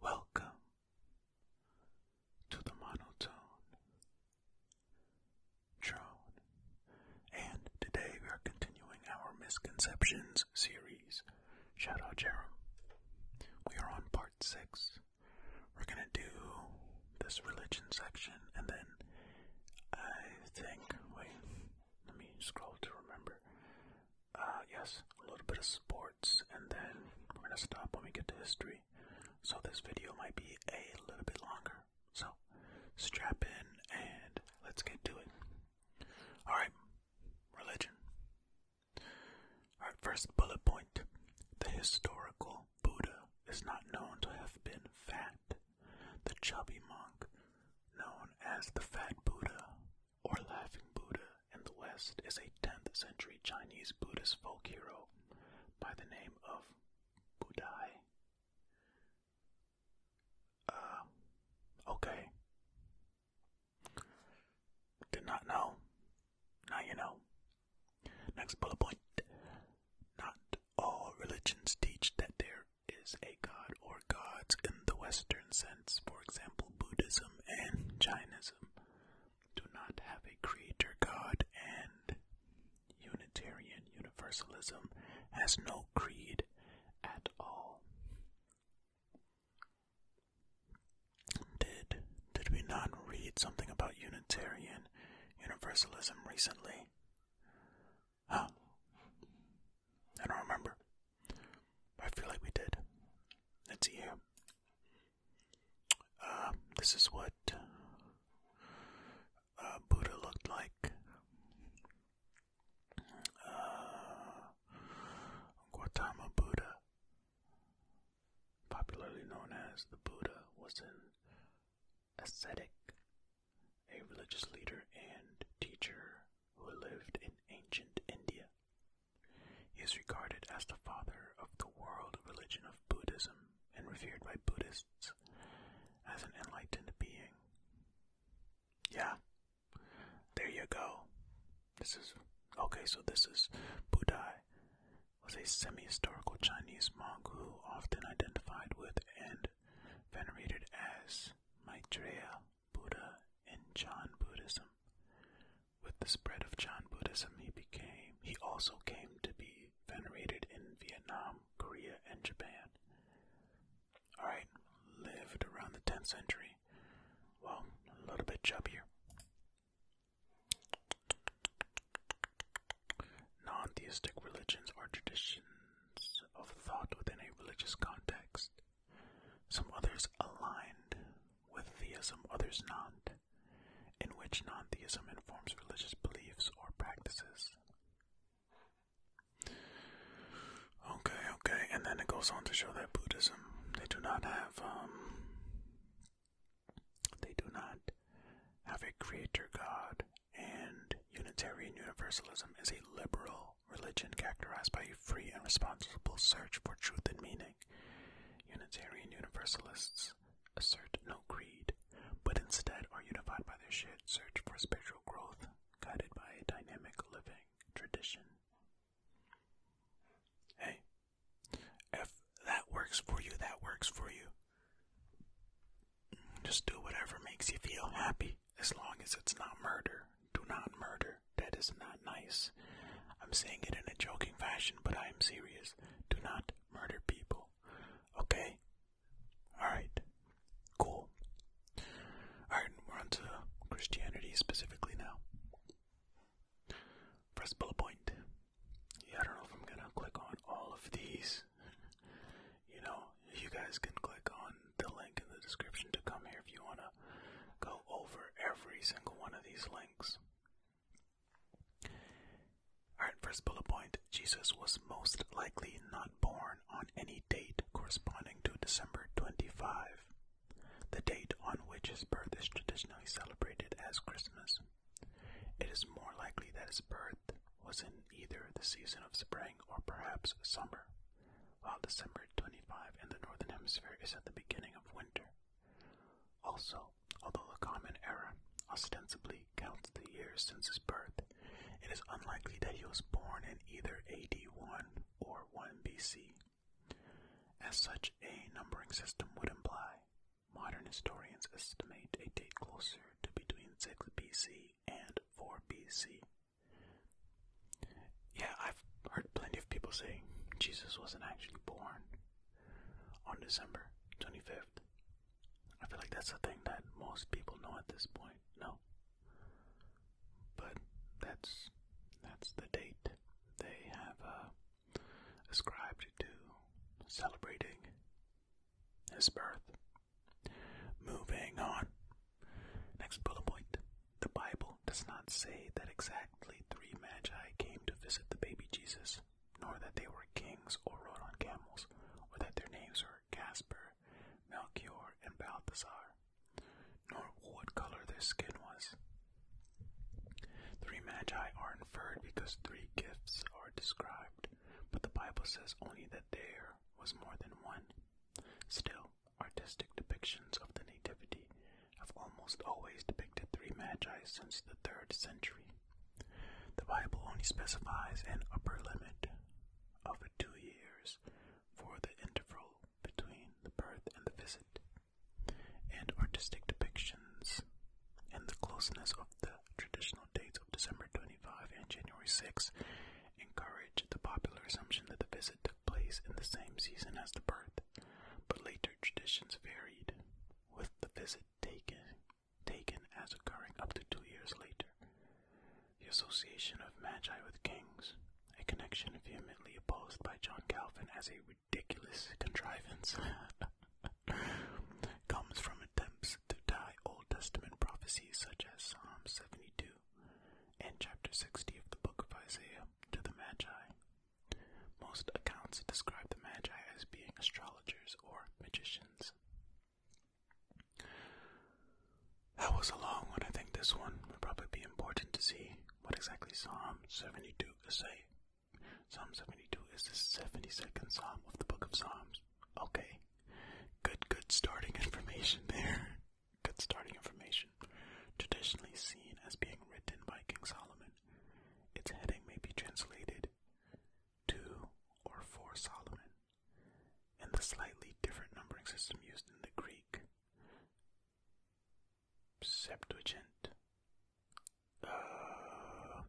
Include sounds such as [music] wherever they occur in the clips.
Welcome to the monotone drone, and today we are continuing our misconceptions series. Shout out, Jerem. We are on part six. We're gonna do this religion section, and then I think. Wait, let me scroll to remember. Uh, yes, a little bit of sports, and then we're gonna stop when we get to history. So this video might be a little bit longer. So strap in and let's get to it. Alright, religion. Our first bullet point the historical Buddha is not known to have been fat. The chubby monk, known as the Fat Buddha or Laughing Buddha in the West, is a 10th century Chinese Buddhist folk hero by the name of Budai. Uh, okay. Did not know. Now you know. Next bullet point. Not all religions teach that there is a god or gods in the Western sense. For example, Buddhism and Jainism do not have a creator god, and Unitarian Universalism has no creed at all. Did did we not read something about Unitarian Universalism recently? Huh? I don't remember. I feel like we did. Let's uh, this is what uh, Buddha looked like. Uh, Buddha popularly known as the Buddha, was an ascetic, a religious leader and teacher who lived in ancient India. He is regarded as the father of the world religion of Buddhism and revered by Buddhists as an enlightened being. Yeah, there you go. This is okay, so this is Buddha was a semi-historical Chinese monk who often identified with and venerated as Maitreya Buddha in Chan Buddhism. With the spread of Chan Buddhism, he became he also came to be venerated in Vietnam, Korea, and Japan. All right, lived around the 10th century. Well, a little bit chubbier. Non-theistic religions are traditions of thought within a religious context. Some others aligned with theism, others not, in which non-theism informs religious beliefs or practices. Okay, okay, and then it goes on to show that Buddhism, they do not have um, they do not have a creator god, and Unitarian Universalism is a liberal religion characterized by a free and responsible search for truth and meaning. Unitarian Universalists assert no creed, but instead are unified by their shared search for spiritual growth, guided by a dynamic living tradition. Hey, if that works for you, that works for you. Just do whatever makes you feel happy, as long as it's not murder. Do not murder. That is not nice. I'm saying it in a joking fashion, but I am serious. Do not murder people. Okay? Alright. Cool. Alright, we're on to Christianity specifically now. Press bullet point. Yeah, I don't know if I'm gonna click on all of these. you know, you guys can click on the link in the description to come here if you wanna go over every single one of these links. Alright, first bullet point Jesus was most likely not born on any date corresponding to December 25 the date on which his birth is traditionally celebrated as Christmas. It is more likely that his birth was in either the season of spring or perhaps summer, while December 25 in the Northern Hemisphere is at the beginning of winter. Also, although the common era ostensibly counts the years since his birth, it is unlikely that he was born in either AD 1 or 1 BC. As such, a numbering system would imply. Modern historians estimate a date closer to between 6 BC and 4 BC. Yeah, I've heard plenty of people say Jesus wasn't actually born on December 25th. I feel like that's the thing that most people know at this point, no? But that's that's the date they have uh, ascribed to celebrating his birth. Moving on. Next bullet point. The Bible does not say that exactly three magi came to visit the baby Jesus, nor that they were kings or rode on camels, or that their names were Caspar, Melchior, and Balthasar nor what color their skin was. Three magi are inferred because three gifts are described, but the Bible says only that there was more than one. Still, artistic depictions of the Nativity have almost always depicted three magi since the 3rd century. The Bible only specifies an upper limit of two years for the interval between the birth and the visit and artistic depictions, and the closeness of the traditional dates of December 25 and January 6 encourage the popular assumption that the visit took place in the same season as the birth, but later traditions varied, with the visit taken, taken as occurring up to two years later. The association of magi with kings a connection vehemently opposed by John Calvin as a ridiculous contrivance, [laughs] comes from attempts to tie Old Testament prophecies such as Psalm 72 and chapter 60 of the book of Isaiah to the Magi. Most accounts describe the Magi as being astrologers or magicians. That was a long one. I think this one would probably be important to see what exactly Psalm 72 say? Psalm 72 is the 72nd Psalm of the Book of Psalms. Okay. Good, good starting [laughs] information there. Good starting information. Traditionally seen as being written by King Solomon, its heading may be translated to or for Solomon, in the slightly different numbering system used in the Greek Septuagint, uh,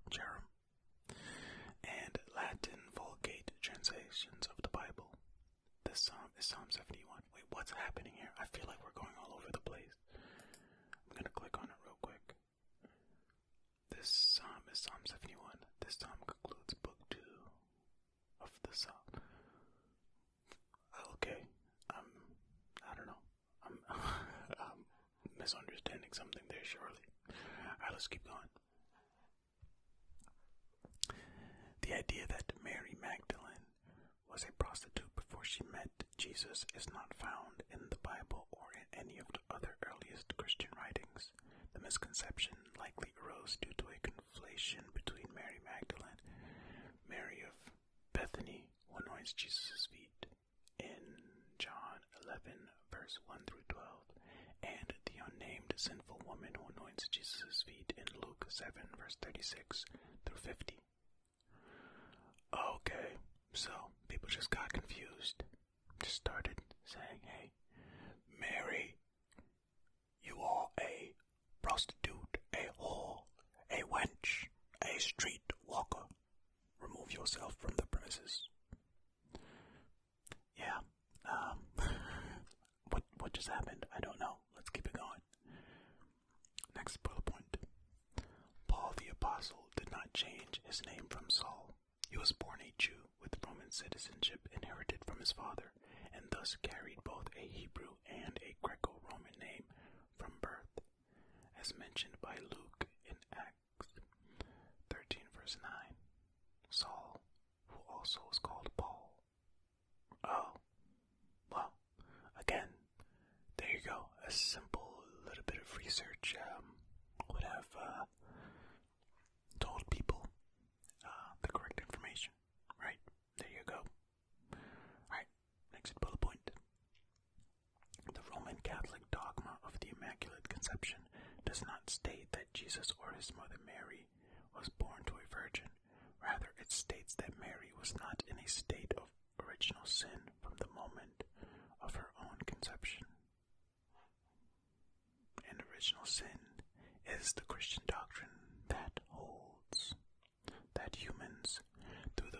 and Latin Vulgate translations of the Bible. This psalm is Psalm 71. Wait, what's happening here? I feel like we're going all over the place. I'm gonna click on it real quick. This psalm is Psalm 71. This psalm concludes Book 2 of the song. Okay, um, I don't know. I'm, [laughs] misunderstanding something there, surely. Alright, let's keep going. The idea that Mary Magdalene was a prostitute before she met Jesus is not found in the Bible or in any of the other earliest Christian writings. The misconception likely arose due to a conflation between Mary Magdalene, Mary of Bethany, who anoints Jesus' feet in John 11, verse 1 through 12, and the unnamed sinful woman who anoints Jesus' feet in Luke 7, verse 36 through 50. Okay, so people just got confused. Just started saying, hey, Mary you are a prostitute, a whore, a wench, a street walker. Remove yourself from the premises. Yeah. Um, [laughs] what what just happened? I don't know. Let's keep it going. Next bullet point. Paul the Apostle did not change his name from Saul. He was born a Jew with Roman citizenship inherited from his father and thus carried both a Hebrew and a Greco Roman name from birth, as mentioned by Luke in Acts 13, verse 9. Saul, who also was called Paul. Oh, well, again, there you go. A simple little bit of research um, would have uh, told people uh, the correct information, right? There you go. Alright, next bullet point. The Roman Catholic dogma of the Immaculate Conception does not state that Jesus or his mother Mary was born to a virgin. Rather, it states that Mary was not in a state of original sin from the moment of her own conception. And original sin is the Christian doctrine that holds that humans, through the,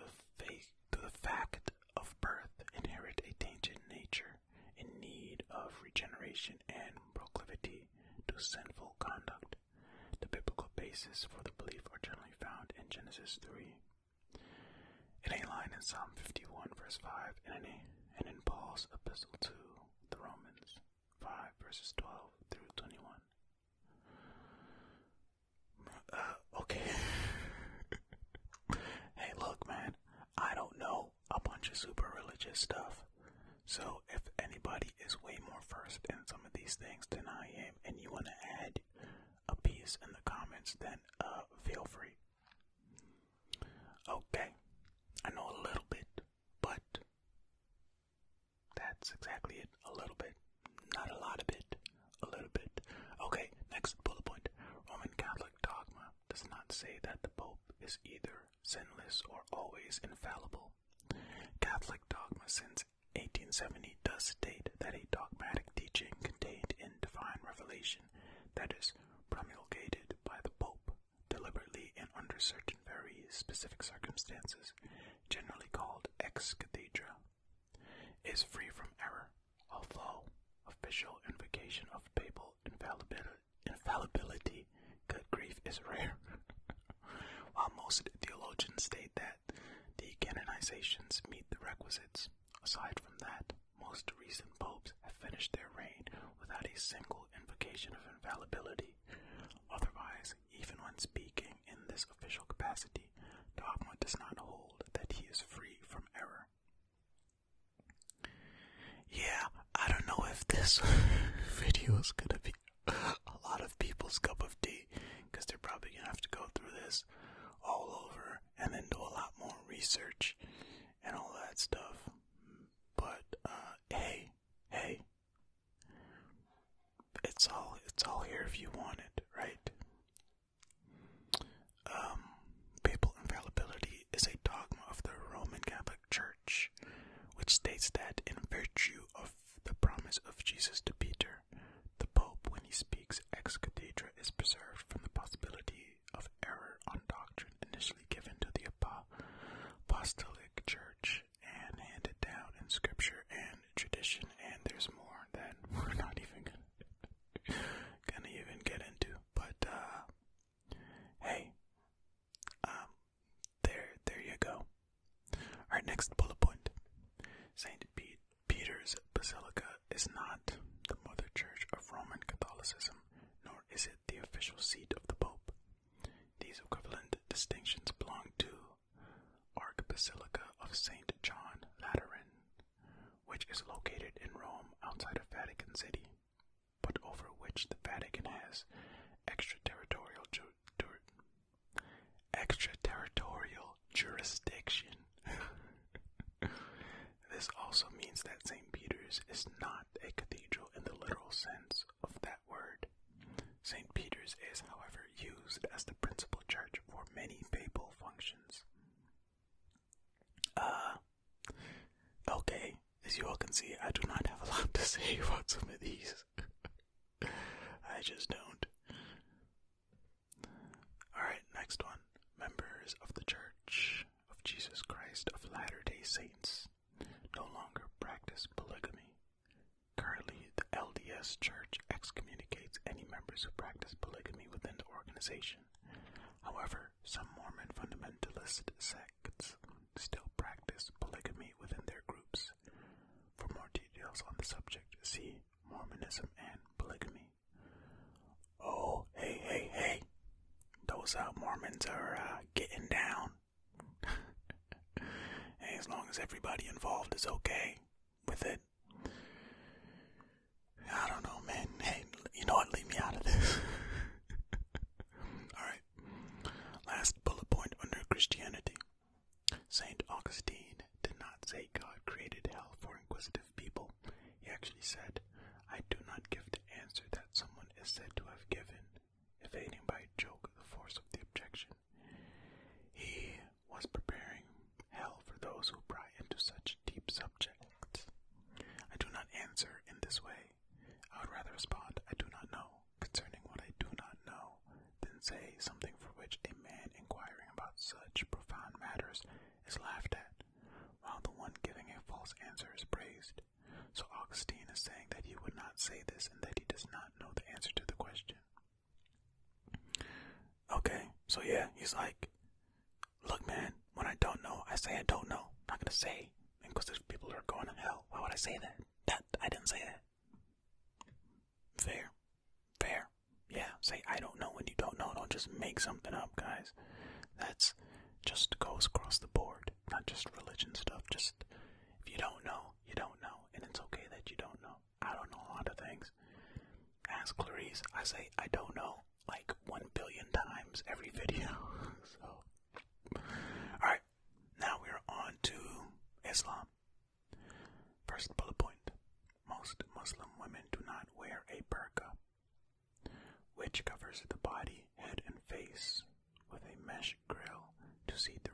fact of birth, inherit a tainted nature in need of regeneration and proclivity to sinful conduct. The biblical basis for the belief are generally found in Genesis 3. In a line in Psalm 51, verse 5, and in Paul's epistle to the Romans. 5 verses 12 through 21. Uh, okay. [laughs] hey, look, man, I don't know a bunch of super religious stuff. So if anybody is way more versed in some of these things than I am, and you want to add a piece in the comments, then uh, feel free. Okay, I know a little bit, but that's exactly it. A little bit. Not a lot of it. A little bit. Okay, next bullet point. Roman Catholic dogma does not say that the Pope is either sinless or always infallible. Catholic dogma since 1870 does state that a dogmatic teaching contained in divine revelation that is promulgated by the Pope deliberately and under certain very specific circumstances, generally called ex cathedra, is free from error, although official invocation of papal infallibility, good grief, is rare. [laughs] While most theologians state that the canonizations meet the requisites, aside from that, most recent popes have finished their reign without a single invocation of infallibility. Otherwise, even when speaking in this official capacity, the dogma does not hold that he is free from error. Yeah, I don't know if this [laughs] video is gonna be a lot of people's cup of tea, they're probably gonna have to go through this all over and then do a lot more research and all that stuff. But, uh, hey, hey, it's all it's all here if you want it, right? Um, papal infallibility is a dogma of the Roman Catholic Church, which states that in virtue of the promise of Jesus to Peter, the Pope, when he speaks ex cathedra, is preserved from the possibility of error on doctrine initially given to the apostolic church and handed down in scripture and tradition, and there's more that [laughs] we're not even [laughs] gonna, even get into. But uh, hey, um, there, there you go. Our next bullet point: Saint Peter's Basilica is not the mother church of Roman Catholicism, nor is it the official seat of the Pope. These equivalent distinctions belong to the Archbasilica of St. John Lateran, which is located in Rome outside of Vatican City, but over which the Vatican has extraterritorial jurisdiction. [laughs] This also means that St. Peter's is not a cathedral in the literal sense, of that word. St. Peter's is, however, used as the principal church for many papal functions. Uh, okay, as you all can see, I do not have a lot to say about some of these. [laughs] I just don't. Alright, next one. Members of the Church of Jesus Christ of Latter day Saints no longer practice polygamy. Currently, the LDS Church excommunicates any members who practice polygamy within the organization. However, some Mormon fundamentalist sects still practice polygamy within their groups. For more details on the subject, see Mormonism and polygamy. Oh, hey, hey, hey! Those uh, Mormons are uh, getting down as long as everybody involved is okay with it. I don't know, man. Hey, you know what? Leave me out of this. [laughs] All right. Last bullet point under Christianity. Saint Augustine did not say God created hell for inquisitive people. He actually said, I do not give the answer that someone is said to have given, evading by a joke the force of the objection. He was preparing hell for those who pry into such deep subjects. I do not answer in this way. I would rather respond, I do not know, concerning what I do not know, than say something for which a man inquiring about such profound matters is laughed at, while the one giving a false answer is praised. So Augustine is saying that he would not say this and that he does not know the answer to the question. Okay, so yeah, he's like, Look, man, when I don't know, I say I don't know. I'm not know not going to say, because there's people who are going to hell. Why would I say that? That I didn't say that. Fair, fair. Yeah, say I don't know when you don't know. Don't just make something up, guys. That's just goes across the board like not just religion stuff, just if you don't know, you don't know, and it's okay that you don't know. I don't know a lot of things. Ask Clarice, I say I don't know like one billion times every video. [laughs] so Alright, now we're on to Islam. First bullet point. Most Muslim women do not wear a burqa which covers the body, head, and face with a mesh grill to see through.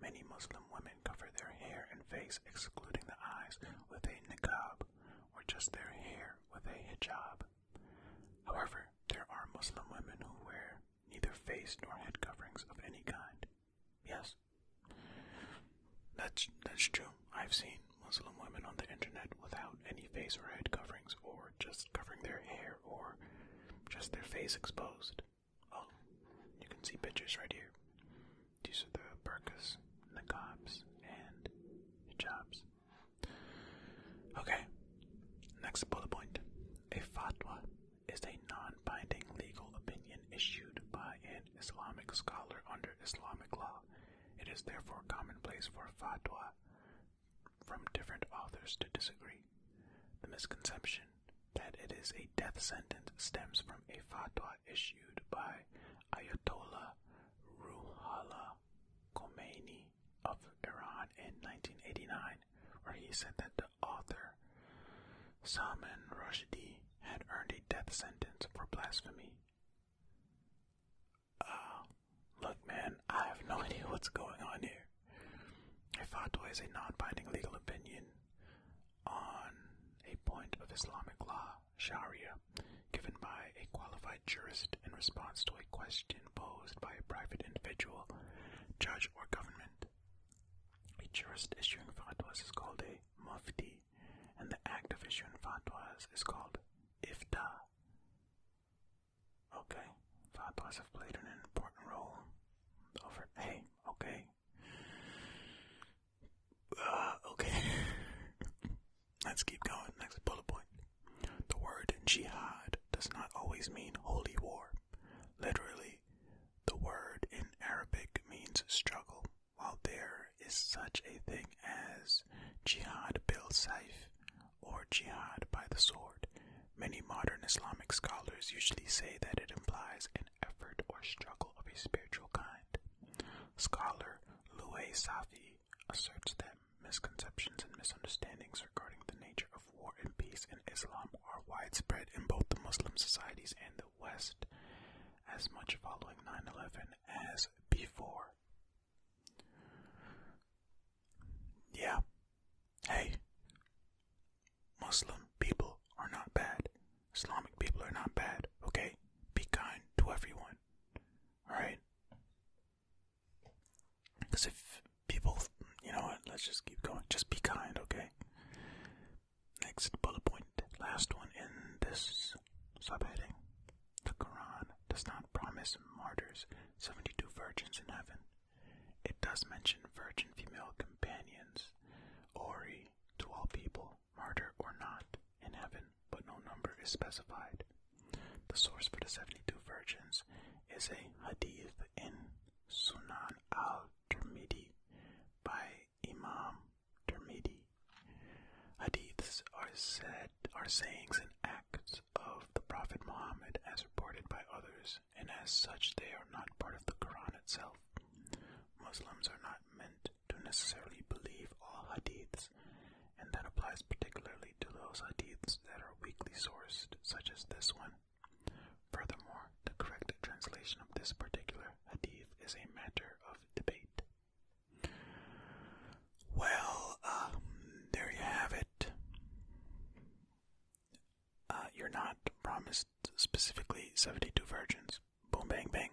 Many Muslim women cover their hair and face, excluding the eyes, with a niqab, or just their hair with a hijab. However, there are Muslim women who wear neither face nor head coverings of any kind. Yes, that's that's true. I've seen Muslim women on the internet without any face or head coverings, or just covering their hair, or just their face exposed. Oh, you can see pictures right here. These are the burkas, niqabs, and hijabs. Okay, next bullet point. A fatwa is a non binding legal opinion issued by an Islamic scholar under Islamic law. It is therefore commonplace for fatwa from different authors to disagree. The misconception that it is a death sentence stems from a fatwa issued by Ayatollah Ruhollah Khomeini of Iran in 1989, where he said that the author Salman Rushdie had earned a death sentence for blasphemy uh, look, man, I have no [laughs] idea what's going on here. A fatwa is a non-binding legal opinion on a point of Islamic law, Sharia, given by a qualified jurist in response to a question posed by a private individual, judge, or government. A jurist issuing fatwas is called a mufti, and the act of issuing fatwas is called ifta. Okay, thought have played an important role over. Hey, okay. Uh, okay. [laughs] Let's keep going. Next bullet point. The word jihad does not always mean holy war. Literally, the word in Arabic means struggle, while there is such a thing as jihad bil saif or jihad by the sword. Many modern Islamic scholars usually say that it implies an effort or struggle of a spiritual kind. Scholar Louis Safi asserts that misconceptions and misunderstandings regarding the nature of war and peace in Islam are widespread in both the Muslim societies and the West, as much following 9 11 as before. Yeah. Hey, Muslim people are not bad. Islamic people are not bad, okay? Be kind to everyone, alright? Because if people, you know what, let's just keep going. Just be kind, okay? Next bullet point, last one in this subheading. The Quran does not promise martyrs, 72 virgins in heaven. It does mention virgin female companions, ory to all people, martyr or not, in heaven, but no number is specified. The source for the 72 virgins is a hadith in Sunan al-Tirmidhi by Imam Tirmidhi. Hadiths are said are sayings and acts of the Prophet Muhammad as reported by others, and as such they are not part of the Quran itself. Muslims are not meant to necessarily believe all hadiths, and that applies particularly to those hadiths that are weakly sourced, such as this one. Furthermore, the correct translation of this particular hadith is a matter of debate. Well, um, there you have it. Uh, you're not promised specifically 72 virgins. Boom, bang, bang.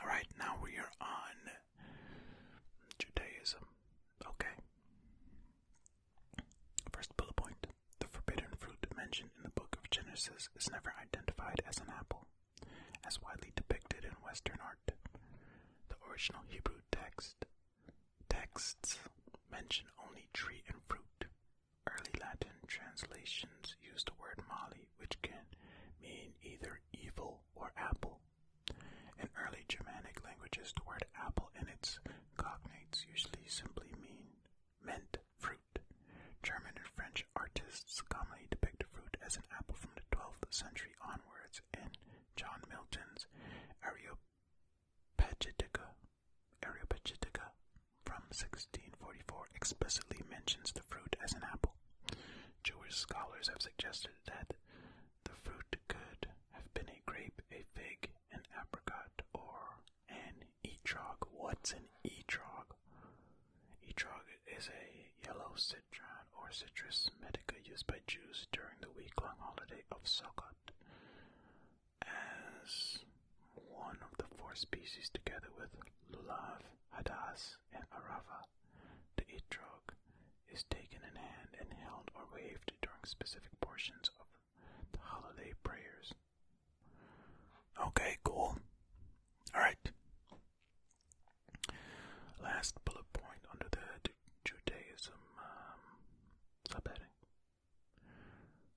Alright, now we are on Judaism. Okay. First bullet point the forbidden fruit mentioned in the book of Genesis is never identified as an apple as widely depicted in Western art. The original Hebrew text texts mention only tree and fruit. Early Latin translations use the word mali, which can mean either evil or apple. In early Germanic languages, the word apple and its cognates usually simply mean meant fruit. German and French artists commonly depict fruit as an apple from the 12th century onwards And John Milton's Areopagitica, Areopagitica from 1644 explicitly mentions the fruit as an apple. Jewish scholars have suggested that the fruit could have been a grape, a fig, an apricot, or an etrog. What's an etrog? Etrog is a yellow or citrus medica used by Jews during the week-long holiday of Sukkot as one of the four species together with lulav, hadas, and arava. The etrog is taken in hand and held or waved during specific portions of the holiday prayers. Okay, cool. Alright. Last bullet point under the Judaism um, subheading.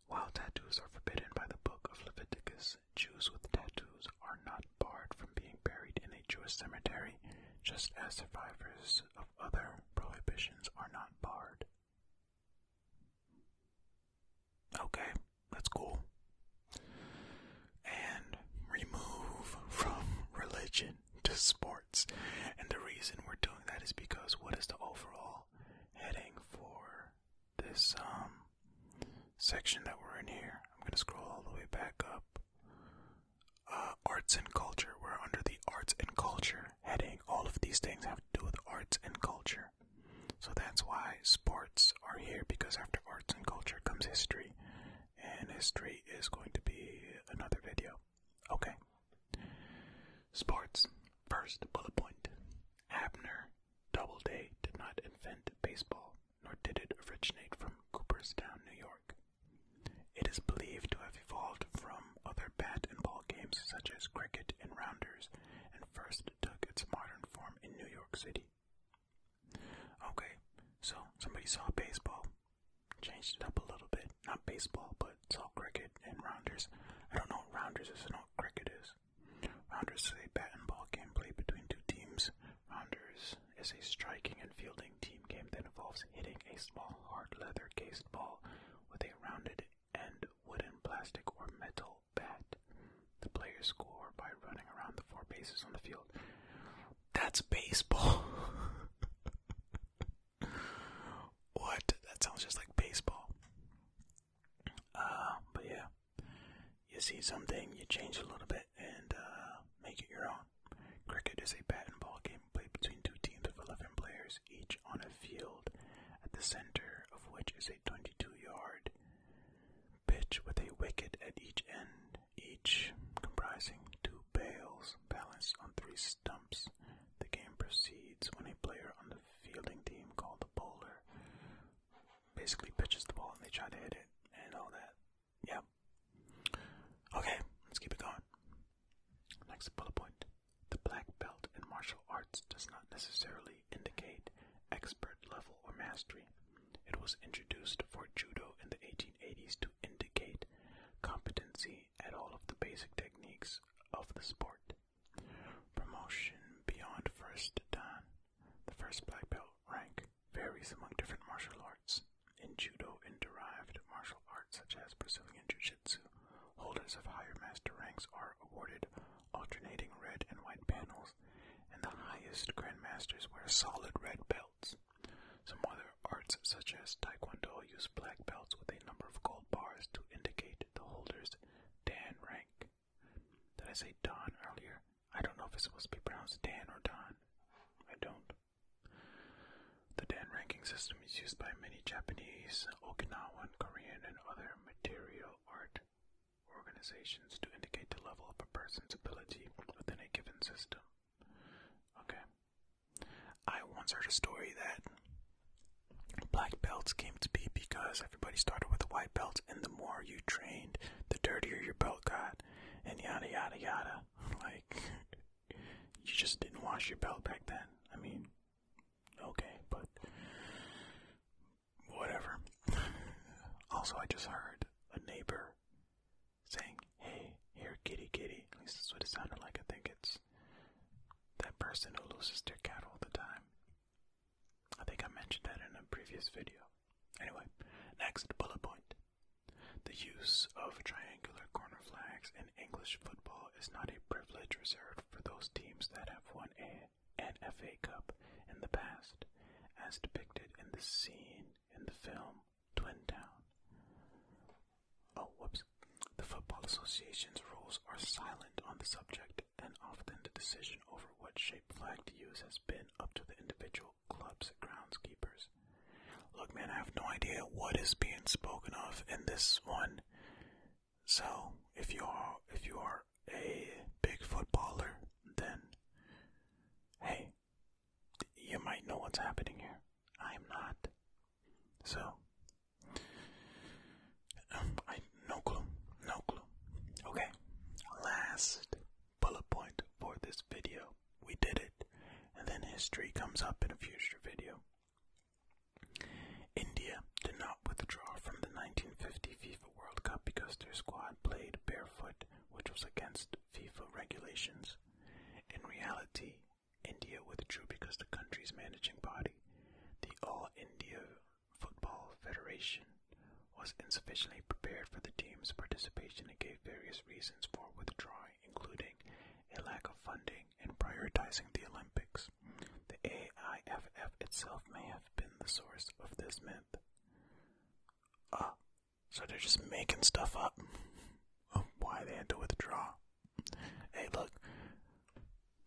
While tattoos are forbidden by the book of Leviticus, Jews with tattoos are not barred from being buried in a Jewish cemetery, just as survivors of other prohibitions are not barred. Okay, that's cool. And remove from [laughs] religion to sports. And the reason we're doing that is because what is the overall heading for this um section that we're in here? I'm gonna scroll all the way back up. Uh, arts and culture. We're under the arts and culture heading. All of these things have to do with arts and culture. So that's why sports are here because after arts and culture comes history, and history is going to be another video. Okay. Sports. First bullet point. Abner Doubleday did not invent baseball, nor did it originate from Cooperstown, New York. It is believed to have evolved from other bat and ball games such as cricket and rounders, and first took its modern form in New York City. Okay, so somebody saw baseball, changed it up a little bit. Not baseball, but saw cricket and rounders. I don't know what rounders is, and what cricket is. Rounders is a bat and ball game played between two teams. Rounders is a striking and fielding team game that involves hitting a small hard leather cased ball with a rounded and wooden, plastic, or metal bat. The players score by running around the four bases on the field. That's baseball. [laughs] what? That sounds just like baseball. Uh, but yeah, you see something, you change a little bit, and uh, make it your own. Cricket is a bat and ball game played between two teams of 11 players, each on a field, at the center of which is a 22 yard pitch with a wicket at each end, each comprising two bales balanced on three stumps. The game proceeds when a player on the fielding team called the bowler basically pitches the ball and they try to hit it and all that. Yep. Okay, let's keep it going. Next bullet point. The black belt in martial arts does not necessarily indicate expert level or mastery. It was introduced for judo in the 1880s to indicate competency at all of the basic techniques of the sport. Promotion beyond first dan, the first black belt rank, varies among different martial arts. In judo and derived martial arts such as Brazilian jiu-jitsu, holders of higher master ranks are awarded alternating red and white panels and the highest grandmasters wear solid red belts. Some other arts, such as taekwondo, use black belts with a number of gold bars to indicate the holder's Dan rank. Did I say dan earlier? I don't know if it's supposed to be pronounced Dan or Don. I don't. The Dan ranking system is used by many Japanese, Okinawan, Korean, and other martial art organizations to indicate the level of a person's ability within a given system. Okay. I once heard a story that black belts came to be because everybody started with a white belt, and the more you trained, the dirtier your belt got, and yada yada yada. [laughs] Like, you just didn't wash your belt back then. I mean, okay, but whatever. Also, I just heard a neighbor saying, Hey, here, kitty, kitty. At least that's what it sounded like. I think it's that person who loses their cat all the time. I think I mentioned that in a previous video. Anyway, next bullet point. The use of triangular corner flags in English football is not a privilege reserved for those teams that have won a and FA Cup in the past, as depicted in the scene in the film Twin Town. Oh, whoops. The Football Association's rules are silent on the subject, and often the decision over what shape flag to use has been up to the individual club's groundskeepers. Look, man, I have no idea what is being spoken of in this one. So, if you are if you are a big footballer, then hey, you might know what's happening here. I'm not. So, um, I no clue, no clue. Okay, last bullet point for this video. We did it, and then history comes up in a future video. India did not withdraw from the 1950 FIFA World Cup because their squad played barefoot, which was against FIFA regulations. In reality, India withdrew because the country's managing body, the All India Football Federation, was insufficiently prepared for the team's participation and gave various reasons for withdrawing, including a lack of funding and prioritizing the Olympics. The AIFF itself may have been the source of this myth. Ah, so they're just making stuff up of [laughs] why they had to withdraw. Hey, look,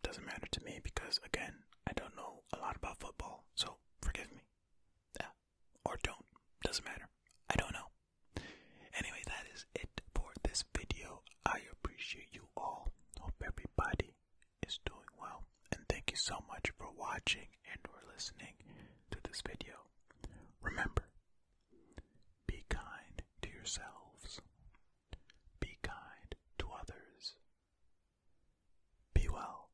doesn't matter to me because, again, I don't know a lot about football, so forgive me. Yeah, or don't. Doesn't matter. I don't know. Anyway, that is it for this video. I appreciate you all. Hope everybody is doing well. And thank you so much for watching and for listening to this video. Remember, be kind to yourselves. Be kind to others. Be well.